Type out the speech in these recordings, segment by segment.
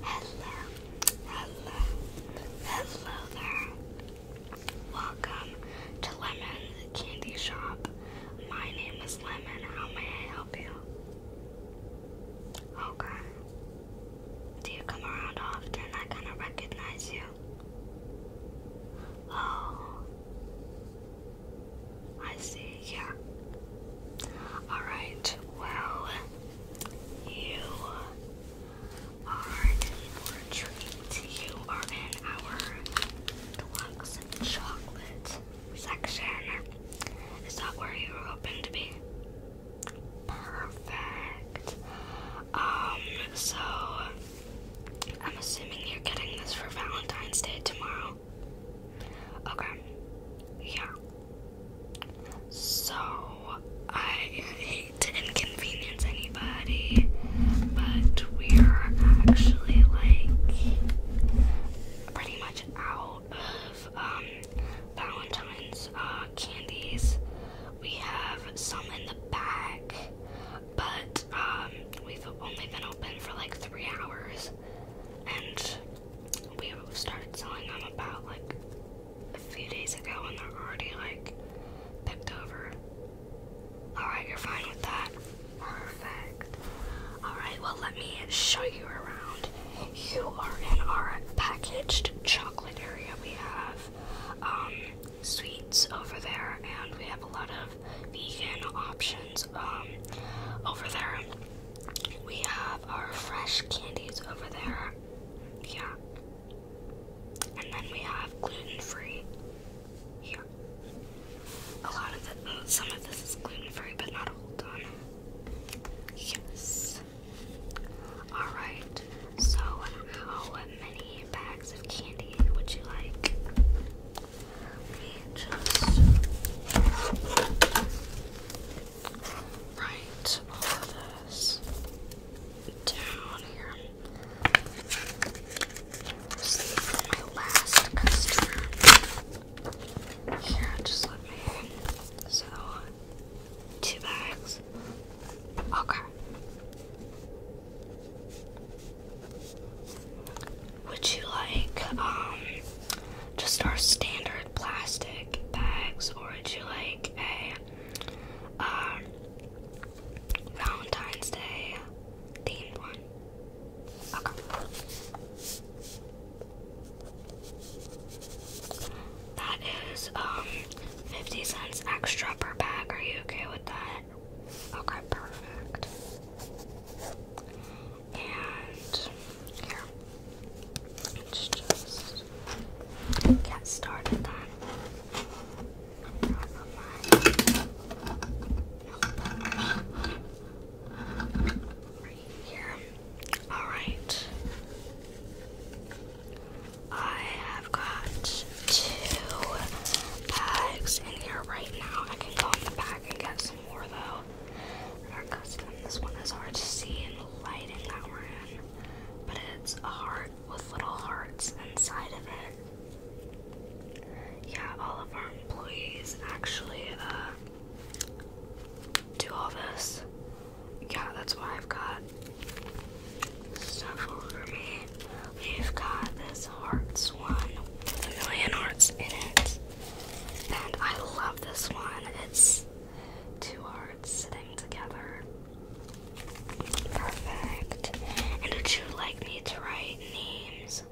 Hello, hello, hello there. Welcome to Lemon's Candy Shop. My name is Lemon. How may I help you? Okay. Do you come around often? I kind of recognize you. Oh, I see yeah. Alright, well, you are in for a treat. You are in our deluxe chocolate section. Is that where you were hoping to be? Perfect. Um, so I'm assuming you're getting this for Valentine's Day tomorrow. Okay. Yeah. So I hate inconvenience anybody, but we're actually like pretty much out of um, Valentine's uh, candies. We have some in the back, but um, we've only been open for like three hours and we started telling them about like a few days ago and they're already like picked over. Alright, you're fine with that. Perfect. Alright, well, let me show you around. You are in our packaged chocolate area. We have um, sweets over there, and we have a lot of vegan options um, over there. We have our fresh candies over there. Yeah. And then we have gluten free here. A lot of it, oh, some of this is gluten free, but not all done. Yes. Alright, so how many bags of candy would you like? We just write all of this down here. See for my last customer. Here, just let me. So, two bags. Okay. Would you like um, just our standard plastic bags, or would you like a um, Valentine's Day themed one? That is um, 50 cents extra per bag. Are you okay with that? Okay, perfect. And here, let's just get started then. Right here. Alright. I have got two bags in here right now. I can go in the bag and get some more though our custom. This one is hard to see in the lighting that we're in, but it's a heart with little hearts inside of it. Yeah, all of our employees actually do all this. Yeah, that's why I've got stuff over me. We've got this hearts one with a million hearts in it. And I love this one. It's two hearts sitting together. Perfect. And would you like me to write names?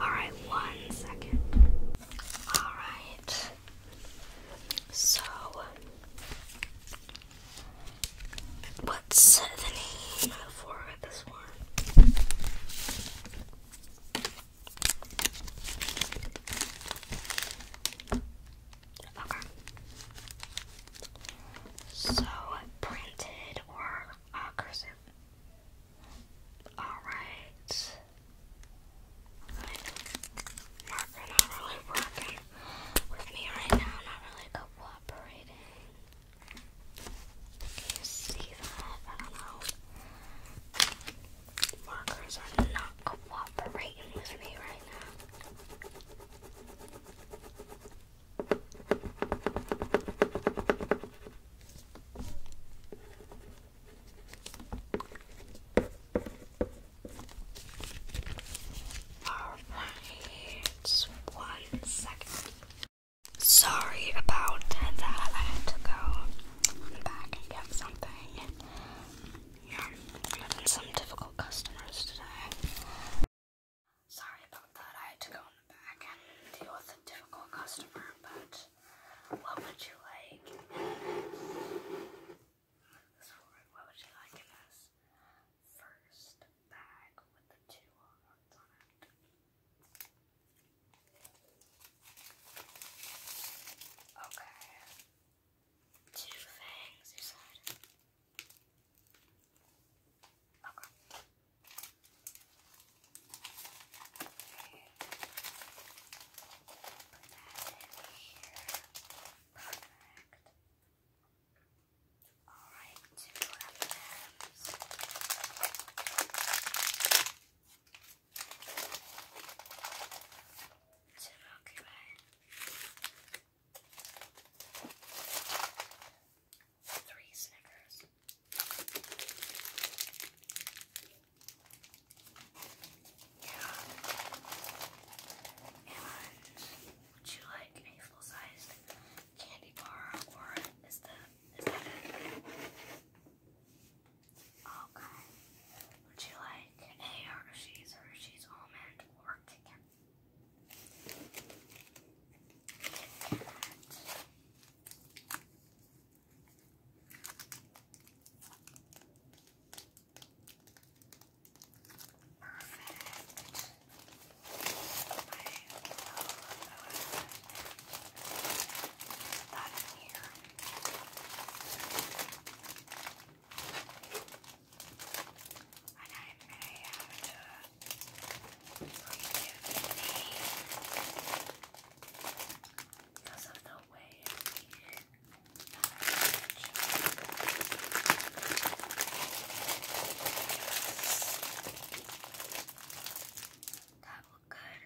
Alright, one second. Alright. So, what's the name for with this Okay. So printed or uh, cursive. All right. not really working with me right now. Not really cooperating you see that? I don't know. Markers are not cooperating with me right now. All right, one second. Sorry about that. I had to go back and get something. Yeah, some difficult customers today. Sorry about that. I had to go in the back and deal with a difficult customer, but what would you like? What would you like in this? first bag with the two hearts on it. Okay. Two fangs, you said. Okay. Put that in here. Perfect. Alright, two M&M's. Two Milky Three Snickers. Yeah. And would you like a full-sized candy bar or is the is that it? Okay. Would you like a Hershey's Hershey's almond or Perfect. I love that. That in here. And I may have to redo the because of the way that looked good.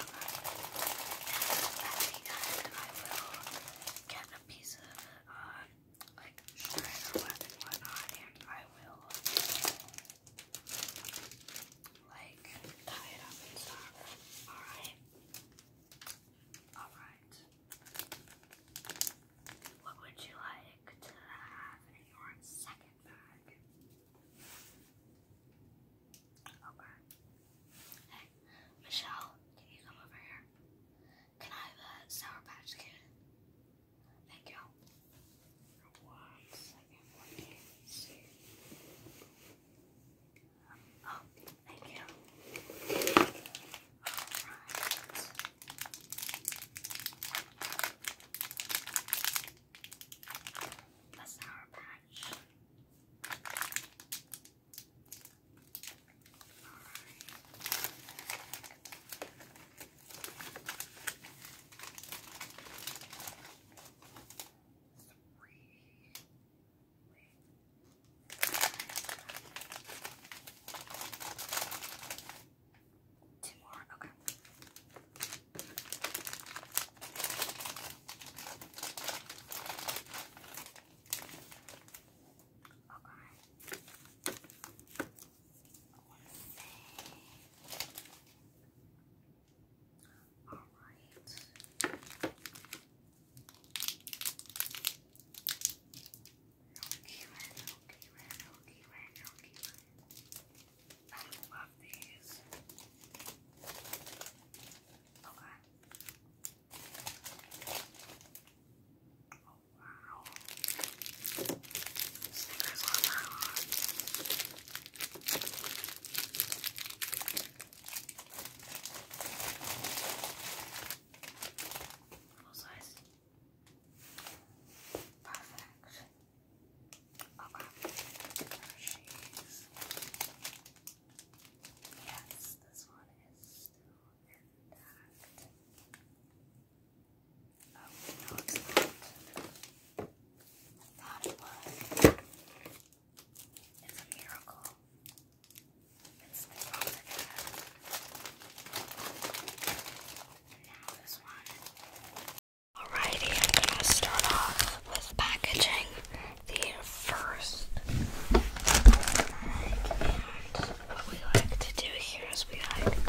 Okay. I think that I will get a piece of um like shred or whatnot and I will like tie it up and stuff. Alright. Alright. What would you like to have in your second bag? Okay. Hey, Michelle, can you come over here? Can I have a Sour Patch Kid? Thank you. One second, let me see. Um, oh, Thank you. All right. The sour patch. All Two more, okay. Okay. I want to say. Alright. Milky Way, Milky Way, Milky Way, Milky Way. I love these. Okay. Oh wow. Snickers on that one. Full size. Perfect. Okay. Yes, this one is still I thought it was. It's a miracle. Alrighty, I'm gonna start off with packaging the first And what we like to do here is we like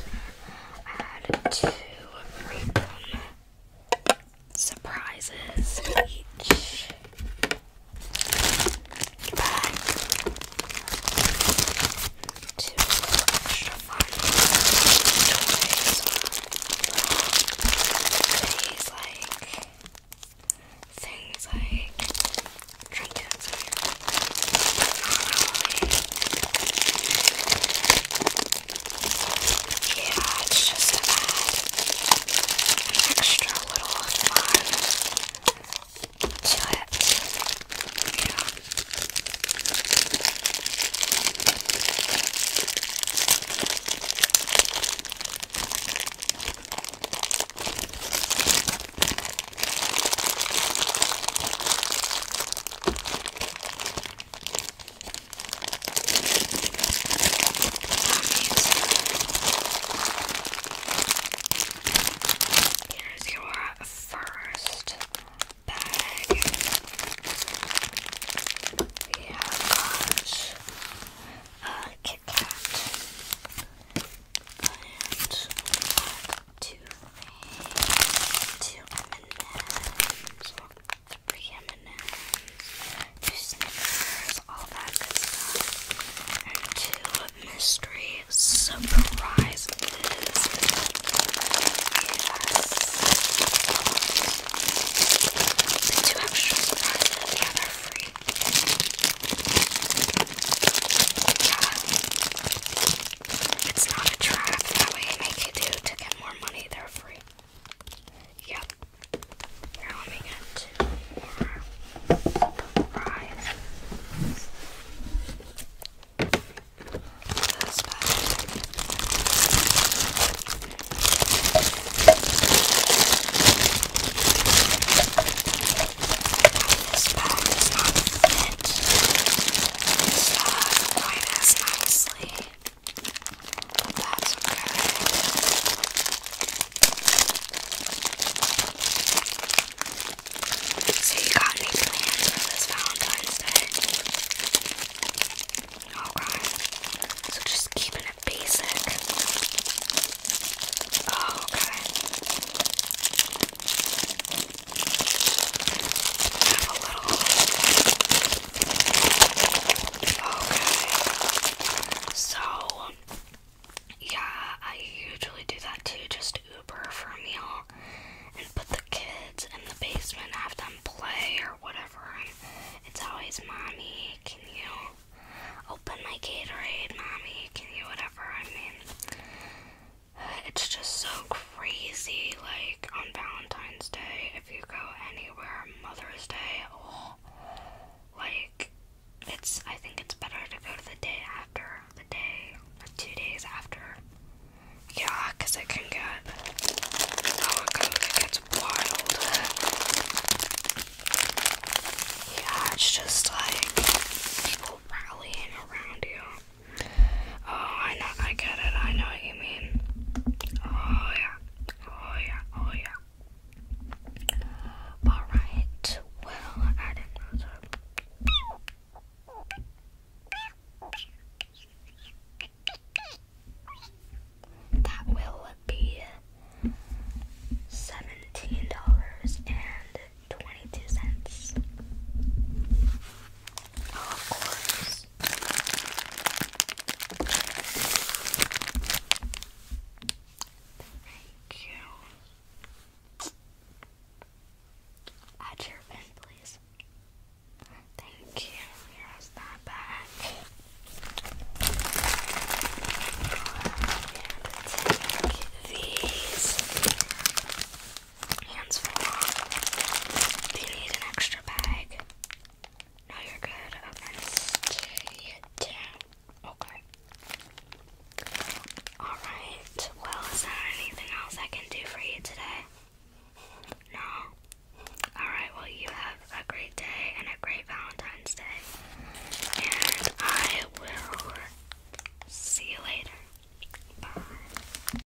add two ribbon surprises each Two extra fun toys. like things like trinkets yeah, it's just a bad extra little fun to it. Here's your first bag. We have got a Kit and two, and M&M's the m 2 Snickers, all that good stuff, and two mystery surprises. Yes. The two surprises, yeah, they're free. Yeah. It's not a trap that way. Make you do to get more money. They're free. Yeah. Now let me get two more fries. this bag does not as nicely so you got any plans for this Valentine's Day? Okay. Oh, so just keeping it basic. Oh, okay. Okay. So, yeah, I usually do that too. Just Uber for a meal and put the kids in the basement, have them play or whatever. it's always, Mommy, can you open my Gatorade? Mommy, can you whatever? I mean, it's just so crazy. Like, on Valentine's Day, if you go anywhere Mother's Day oh, like it's I think it's better to go to the day after the day two days after. Yeah, it can get it gets wild. Yeah, it's just like people rallying around you. Oh, I know, I get it, I know what you mean. Oh, yeah, oh, yeah, oh, yeah. Alright, well, I didn't that. will be seventeen dollars and twenty-two cents. of course. Thank you. Add your pen, please. Thank you. Here's that back. And take these. Hands full. Do you need an extra bag? No, you're good. Okay. Alright. Well, is there anything else I can do for you today? No. Alright, well, you have a great day and a great Valentine's Day. And I will see you later. Bye.